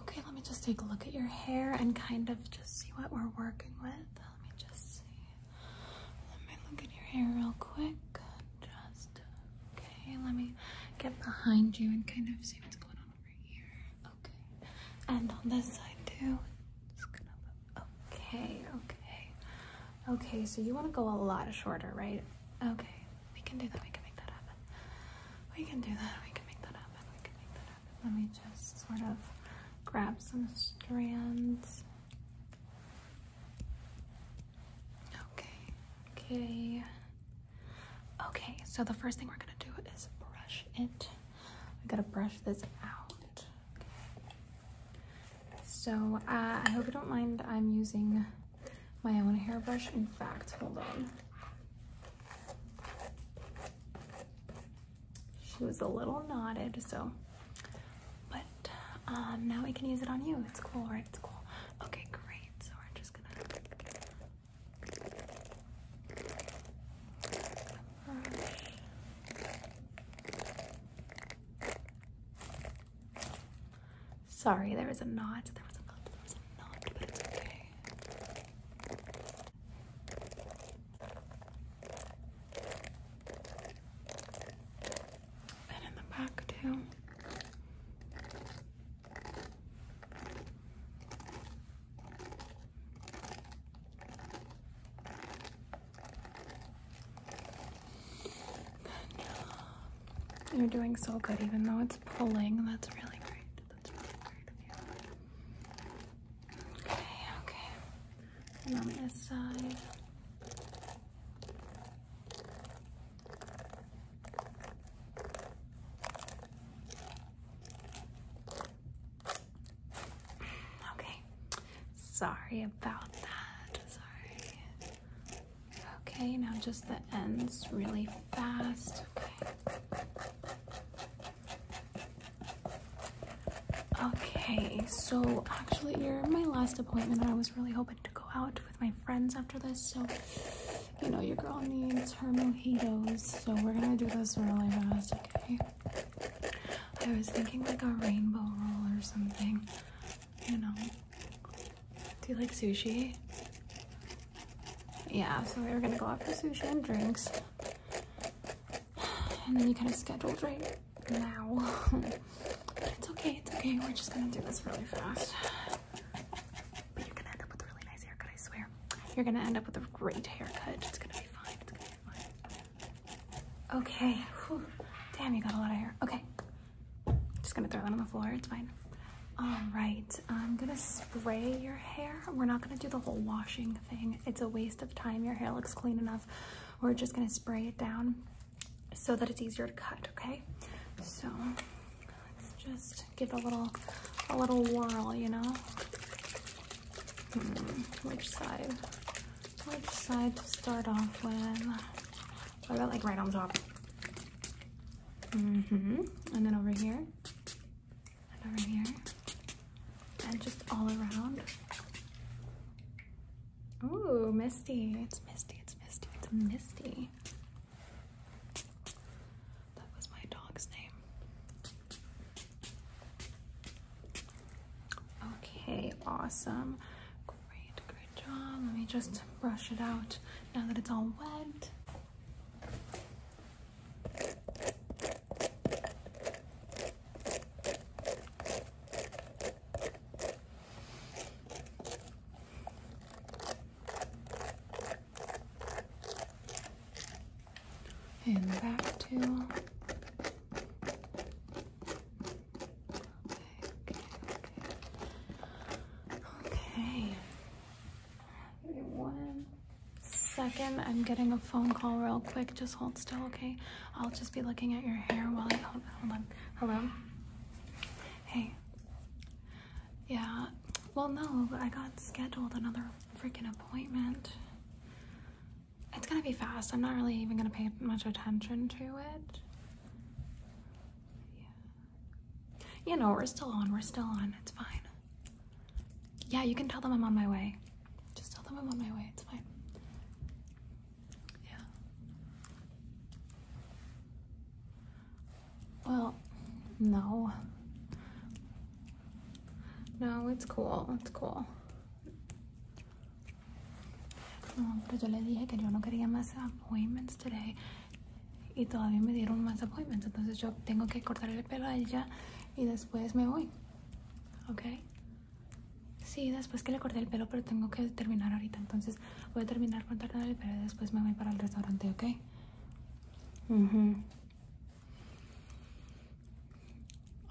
Okay, let me just take a look at your hair and kind of just see what we're working with. Let me just see. Let me look at your hair real quick. Just, okay, let me get behind you and kind of see what's going on over here. Okay, and on this side too. okay, okay. Okay, so you want to go a lot shorter, right? Okay, we can do that. We can make that happen. We can do that. We can make that happen. We can make that happen. Let me just sort of grab some strands. Okay. Okay. Okay, so the first thing we're gonna do is brush it. We gotta brush this out. So uh, I hope you don't mind. I'm using my own hairbrush. In fact, hold on. She was a little knotted, so. But um, now we can use it on you. It's cool, right? It's cool. Okay, great. So we're just gonna. Sorry, there was a knot. There was a knot. but it's okay. And in the back too. Then, you're doing so good, even though it's pulling. That's really great. That's really great of you. Okay, okay. on this side. Okay. Sorry about that. Sorry. Okay, now just the ends really fast. Okay. okay, so actually you're my last appointment I was really hoping to go out with my friends after this, so you know your girl needs her mojitos, so we're gonna do this really fast, okay? I was thinking like a rainbow roll or something, you know. Do you like sushi? Yeah, so we were gonna go out for sushi and drinks. And then you kind of scheduled right now. it's okay, it's okay. We're just gonna do this really fast. But you're gonna end up with a really nice haircut, I swear. You're gonna end up with a great haircut. It's gonna be fine, it's gonna be fine. Okay, damn, you got a lot of hair. Okay, just gonna throw that on the floor, it's fine. All right, I'm gonna spray your hair. We're not gonna do the whole washing thing. It's a waste of time. Your hair looks clean enough. We're just gonna spray it down so that it's easier to cut, okay? So let's just give it a little, a little whirl, you know? Hmm, which side? Which side to start off with? So I got like right on top. Mm-hmm. And then over here. And over here. And just all around. Oh, misty. It's misty. It's misty. It's misty. That was my dog's name. Okay, awesome. Great, job. Let me just brush it out now that it's all wet. And back to Okay. one second. I'm getting a phone call real quick. Just hold still, okay? I'll just be looking at your hair while I hold, hold on. Hello? Hey. Yeah. Well, no, I got scheduled another freaking appointment. It's gonna be fast. I'm not really even gonna pay much attention to it. Yeah. You know, we're still on. We're still on. It's fine. Yeah, you can tell them I'm on my way. Just tell them I'm on my way. It's fine. Yeah. Well, no. No, it's cool. It's cool. No, pero yo le dije que yo no quería más appointments today y todavía me dieron más appointments. Entonces yo tengo que cortar el pelo a ella y después me voy. ¿Ok? Sí, después que le corté el pelo, pero tengo que terminar ahorita. Entonces voy a terminar cortándole el pelo y después me voy para el restaurante, ¿ok?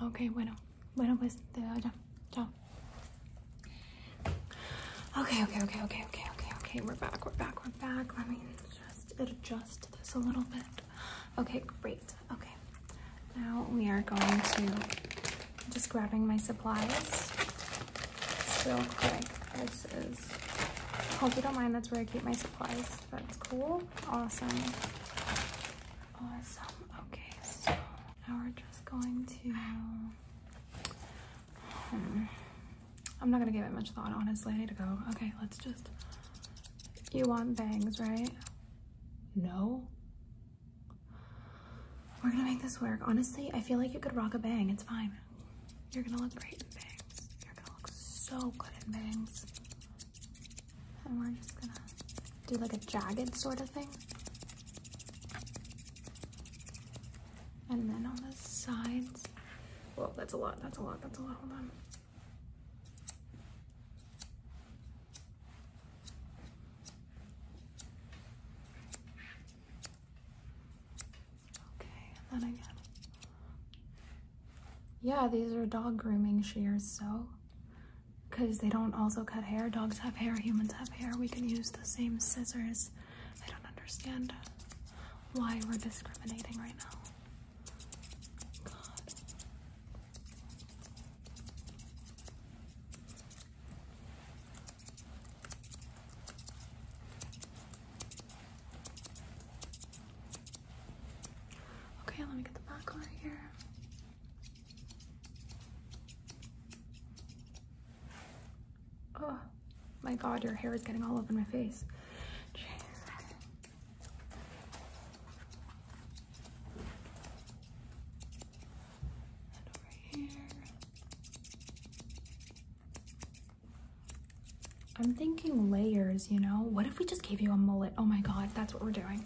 Ok, bueno. Bueno, pues te veo ya. Chao. Okay, okay, okay, okay, okay, okay, okay. We're back, we're back, we're back. Let me just adjust this a little bit. Okay, great. Okay. Now we are going to I'm just grabbing my supplies real quick. This is hope you don't mind, that's where I keep my supplies. That's cool. Awesome. Awesome. Okay, so now we're just going to. Hmm, I'm not gonna give it much thought, honestly. I need to go. Okay, let's just. You want bangs, right? No. We're gonna make this work. Honestly, I feel like you could rock a bang. It's fine. You're gonna look great in bangs. You're gonna look so good in bangs. And we're just gonna do like a jagged sort of thing. And then on the sides, well, that's a lot, that's a lot, that's a lot, Okay, then again. Yeah, these are dog grooming shears, so because they don't also cut hair. Dogs have hair, humans have hair. We can use the same scissors. I don't understand why we're discriminating right now. Okay, let me get the back over here. Oh my god, your hair is getting all over my face. I'm thinking layers, you know? What if we just gave you a mullet? Oh my god, that's what we're doing.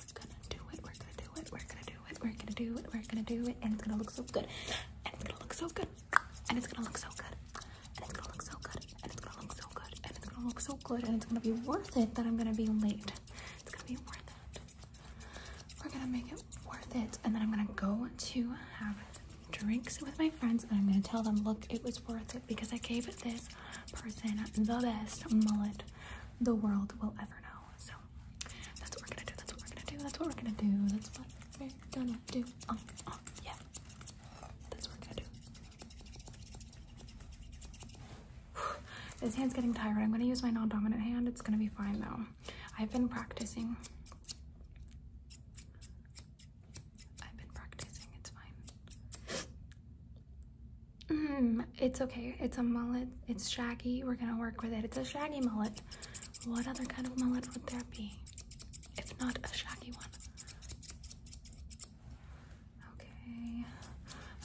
we're gonna do it. We're gonna do it. We're gonna do it. We're gonna do it. We're gonna do it. And it's gonna look so good. And it's gonna look so good. And it's gonna look so good. And it's gonna look so good. And it's gonna look so good. And it's gonna look so good. And it's gonna be worth it that I'm gonna be late. It's gonna be worth it. We're gonna make it worth it. And then I'm gonna go to have drinks with my friends and I'm gonna tell them, look, it was worth it because I gave this person the best mullet the world will so that's what we're gonna do. That's what we're gonna do. That's what we're gonna do. That's what we're gonna do. Oh, yeah. That's what we're gonna do. This hand's getting tired. I'm gonna use my non-dominant hand. It's gonna be fine though. I've been practicing. I've been practicing. It's fine. Mm-hmm. it's okay. It's a mullet. It's shaggy. We're gonna work with it. It's a shaggy mullet. What other kind of mullet would there be? If not a shaggy one. Okay.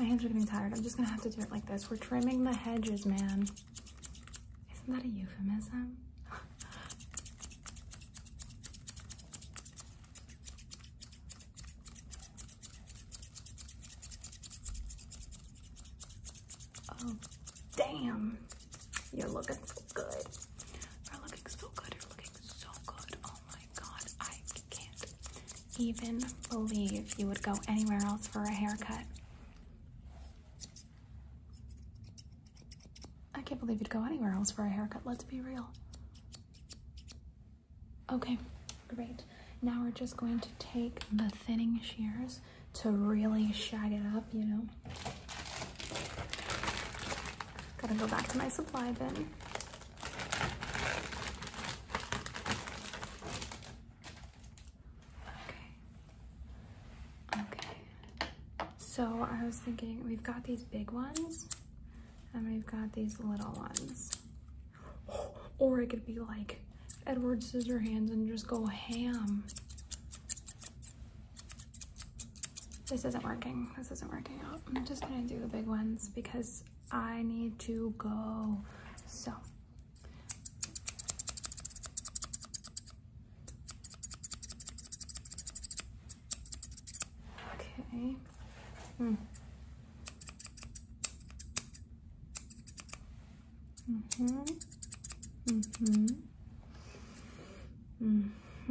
My hands are getting tired. I'm just gonna have to do it like this. We're trimming the hedges, man. Isn't that a euphemism? Oh, damn. You're looking so good. You're looking so good. You're looking so good. Oh my god. I can't even believe you would go anywhere else for a haircut. I can't believe you'd go anywhere else for a haircut. Let's be real. Okay, great. Now we're just going to take the thinning shears to really shag it up, you know? Gotta go back to my supply bin. Okay. Okay. So I was thinking we've got these big ones. And we've got these little ones. Or it could be like Edward Scissorhands and just go ham. This isn't working. This isn't working out. I'm just gonna do the big ones because I need to go. So. Okay. Mm. Mm-hmm. Mm-hmm.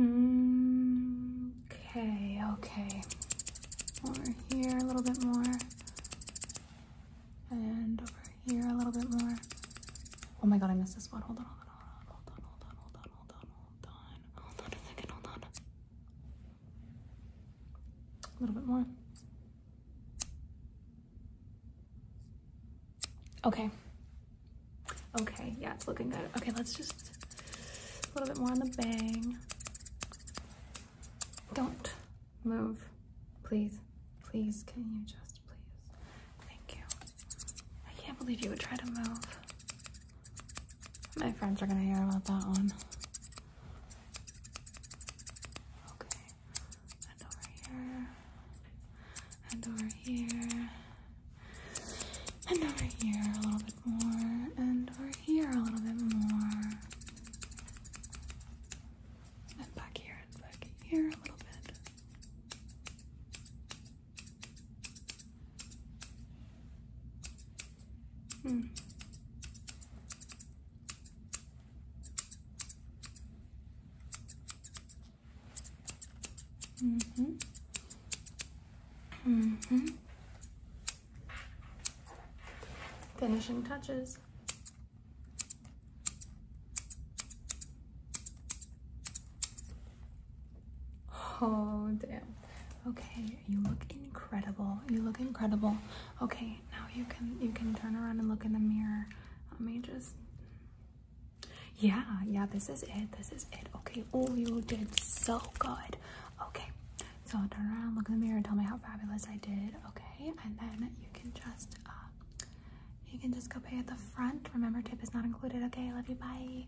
Mm-hmm. Okay, okay. Over here a little bit more. And over here a little bit more. Oh my god, I missed this one. Hold on, hold on, hold on, hold on, hold on, hold on, hold on, hold on, hold on, hold on a second, hold on. A little bit more. Okay. Okay, yeah, it's looking good. Okay, let's just a little bit more on the bang. Don't move, please. Please, can you just please? Thank you. I can't believe you would try to move. My friends are gonna hear about that one. Okay, and over here, and over here, and over here a little bit more, and over here a little bit more, and back here and back here a little bit. Hmm. Mm-hmm. Mm-hmm. Finishing touches. Oh, damn. Okay, you look incredible. You look incredible. Okay, now you can you can turn around and look in the mirror. Let me just Yeah, yeah, this is it. This is it. Okay. Oh, you did so good. Okay. So turn around, look in the mirror, tell me how fabulous I did. Okay? And then you can just uh, you can just go pay at the front. Remember tip is not included. Okay, love you. Bye.